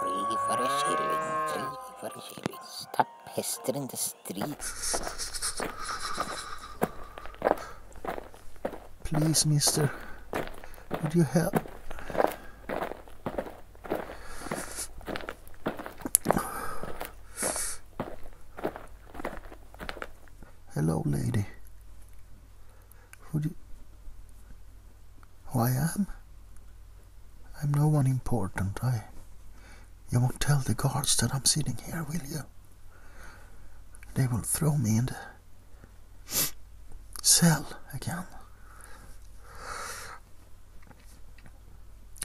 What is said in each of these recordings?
Drivare kylling, drivare kylling. Stapp hester in the streets! Please, mister, would you help? Hello, lady. Who do you... Who I am? I'm no one important. I... You won't tell the guards that I'm sitting here, will you? They will throw me in the Sell again.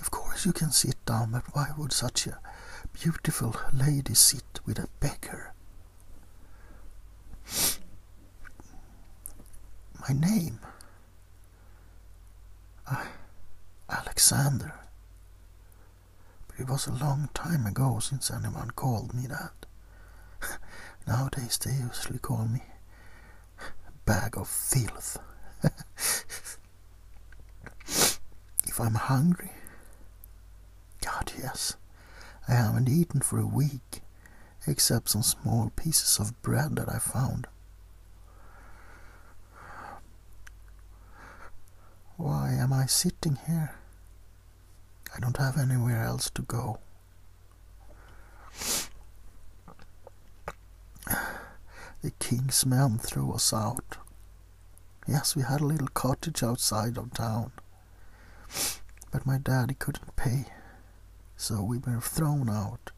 Of course you can sit down, but why would such a beautiful lady sit with a beggar? My name? Ah, Alexander. But it was a long time ago since anyone called me that. Nowadays they usually call me bag of filth. if I'm hungry, God, yes, I haven't eaten for a week, except some small pieces of bread that I found. Why am I sitting here? I don't have anywhere else to go. The king's men threw us out. Yes, we had a little cottage outside of town, but my daddy couldn't pay, so we were thrown out.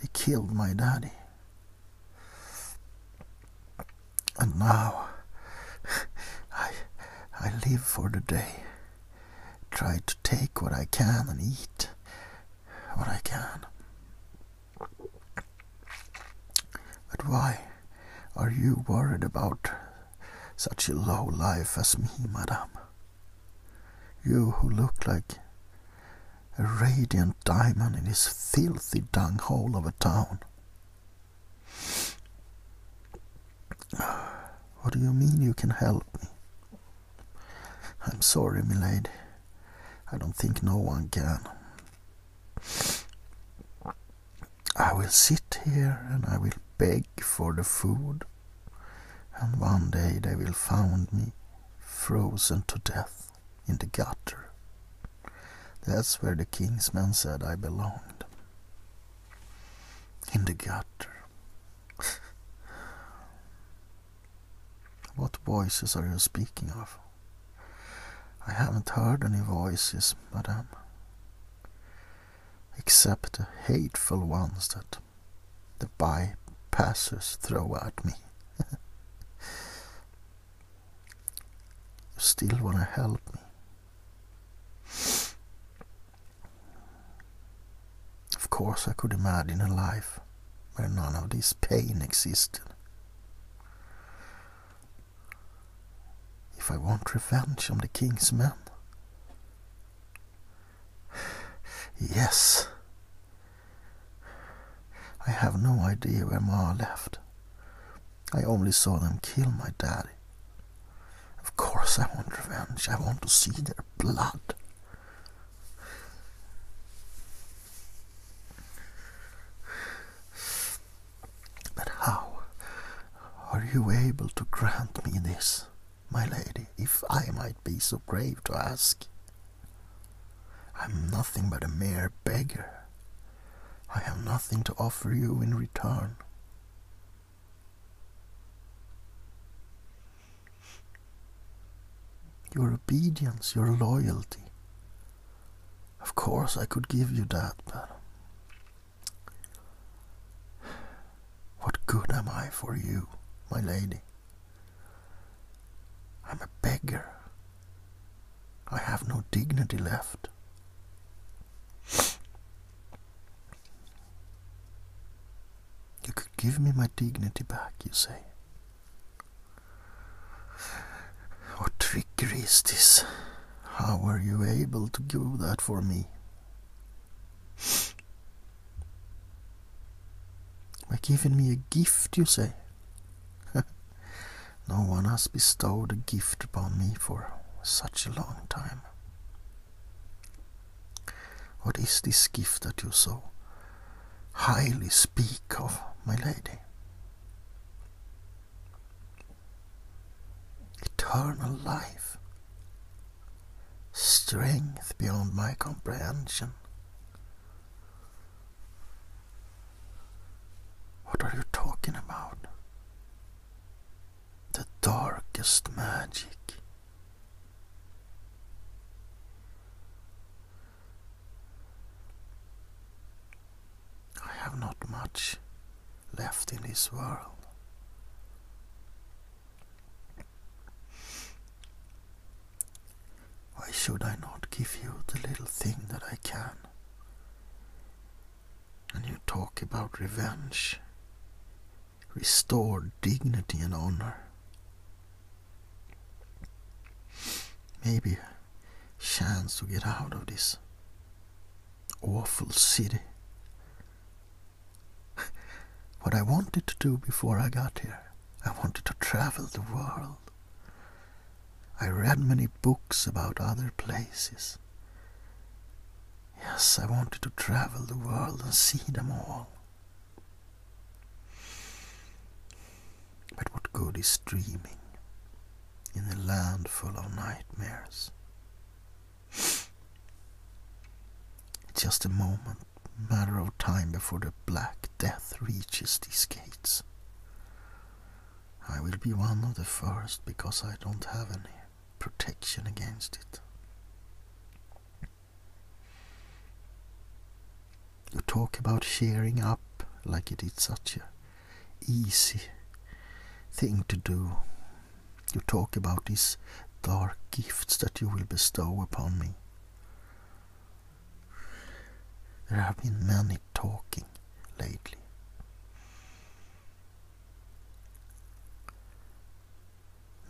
They killed my daddy. And now I, I live for the day. Try to take what I can and eat what I can. But why are you worried about such a low life as me, madame? You who look like a radiant diamond in this filthy dung hole of a town. What do you mean you can help me? I'm sorry, milady. I don't think no one can. I will sit here and I will beg for the food, and one day they will find me frozen to death in the gutter. That's where the kingsman said I belonged. In the gutter. what voices are you speaking of? I haven't heard any voices, madame. Except the hateful ones that the by-passers throw at me. You still want to help me. Of course, I could imagine a life where none of this pain existed. If I want revenge on the king's men. Yes, I have no idea where Ma left. I only saw them kill my daddy. Of course I want revenge. I want to see their blood. But how are you able to grant me this, my lady, if I might be so brave to ask? I'm nothing but a mere beggar. I have nothing to offer you in return. Your obedience, your loyalty. Of course I could give you that, but what good am I for you, my lady? I'm a beggar. I have no dignity left. You could give me my dignity back, you say. What trickery is this? How were you able to do that for me? By giving me a gift, you say? no one has bestowed a gift upon me for such a long time. What is this gift that you so highly speak of, my lady? Eternal life, strength beyond my comprehension what are you talking about? The darkest magic. I have not much left in this world. Why should I not give you the little thing that I can? And you talk about revenge, restore dignity and honor. Maybe a chance to get out of this awful city what I wanted to do before I got here. I wanted to travel the world. I read many books about other places. Yes, I wanted to travel the world and see them all. But what good is dreaming in a land full of nightmares? Just a moment, matter of time before the Black Death reaches these gates. I will be one of the first because I don't have any protection against it. You talk about shearing up like it is such a easy thing to do you talk about these dark gifts that you will bestow upon me. There have been many talking lately.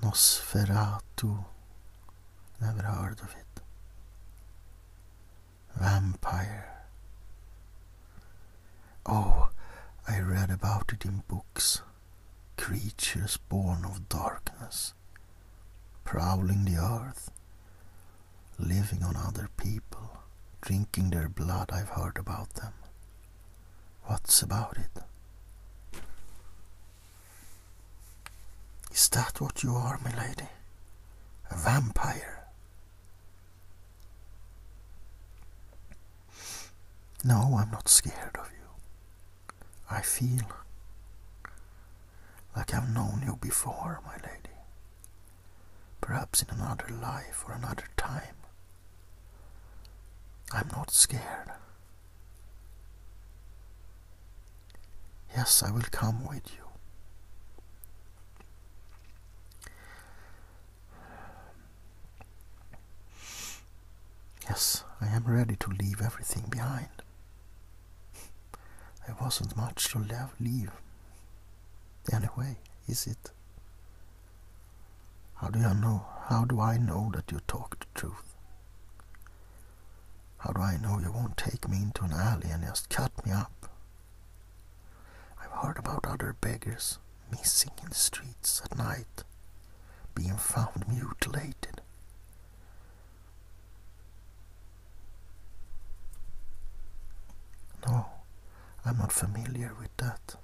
Nosferatu, never heard of it. Vampire. Oh, I read about it in books creatures born of darkness, prowling the earth, living on other people, drinking their blood. I've heard about them. What's about it? Is that what you are, my lady? A vampire? No, I'm not scared of you. I feel like I've known you before, my lady. Perhaps in another life or another time. I'm not scared. Yes, I will come with you. Um, yes, I am ready to leave everything behind. There wasn't much to leave. Anyway, is it? How do you know? How do I know that you talk the truth? How do I know you won't take me into an alley and just cut me up? I've heard about other beggars missing in the streets at night, being found mutilated. No, I'm not familiar with that.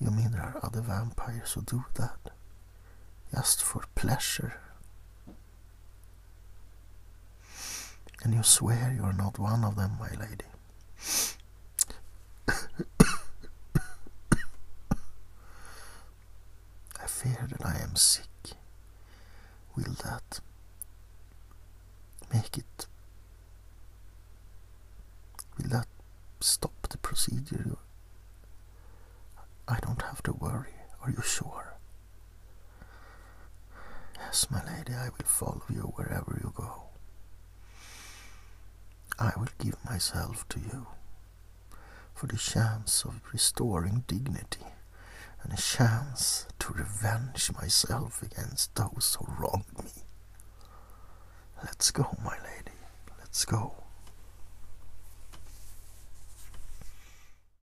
You mean there are other vampires who do that? Just for pleasure? And you swear you are not one of them, my lady. I fear that I am sick. Will that make it? Will that stop the procedure? I don't have to worry. Are you sure? Yes, my lady, I will follow you wherever you go. I will give myself to you for the chance of restoring dignity and a chance to revenge myself against those who wronged me. Let's go, my lady. Let's go.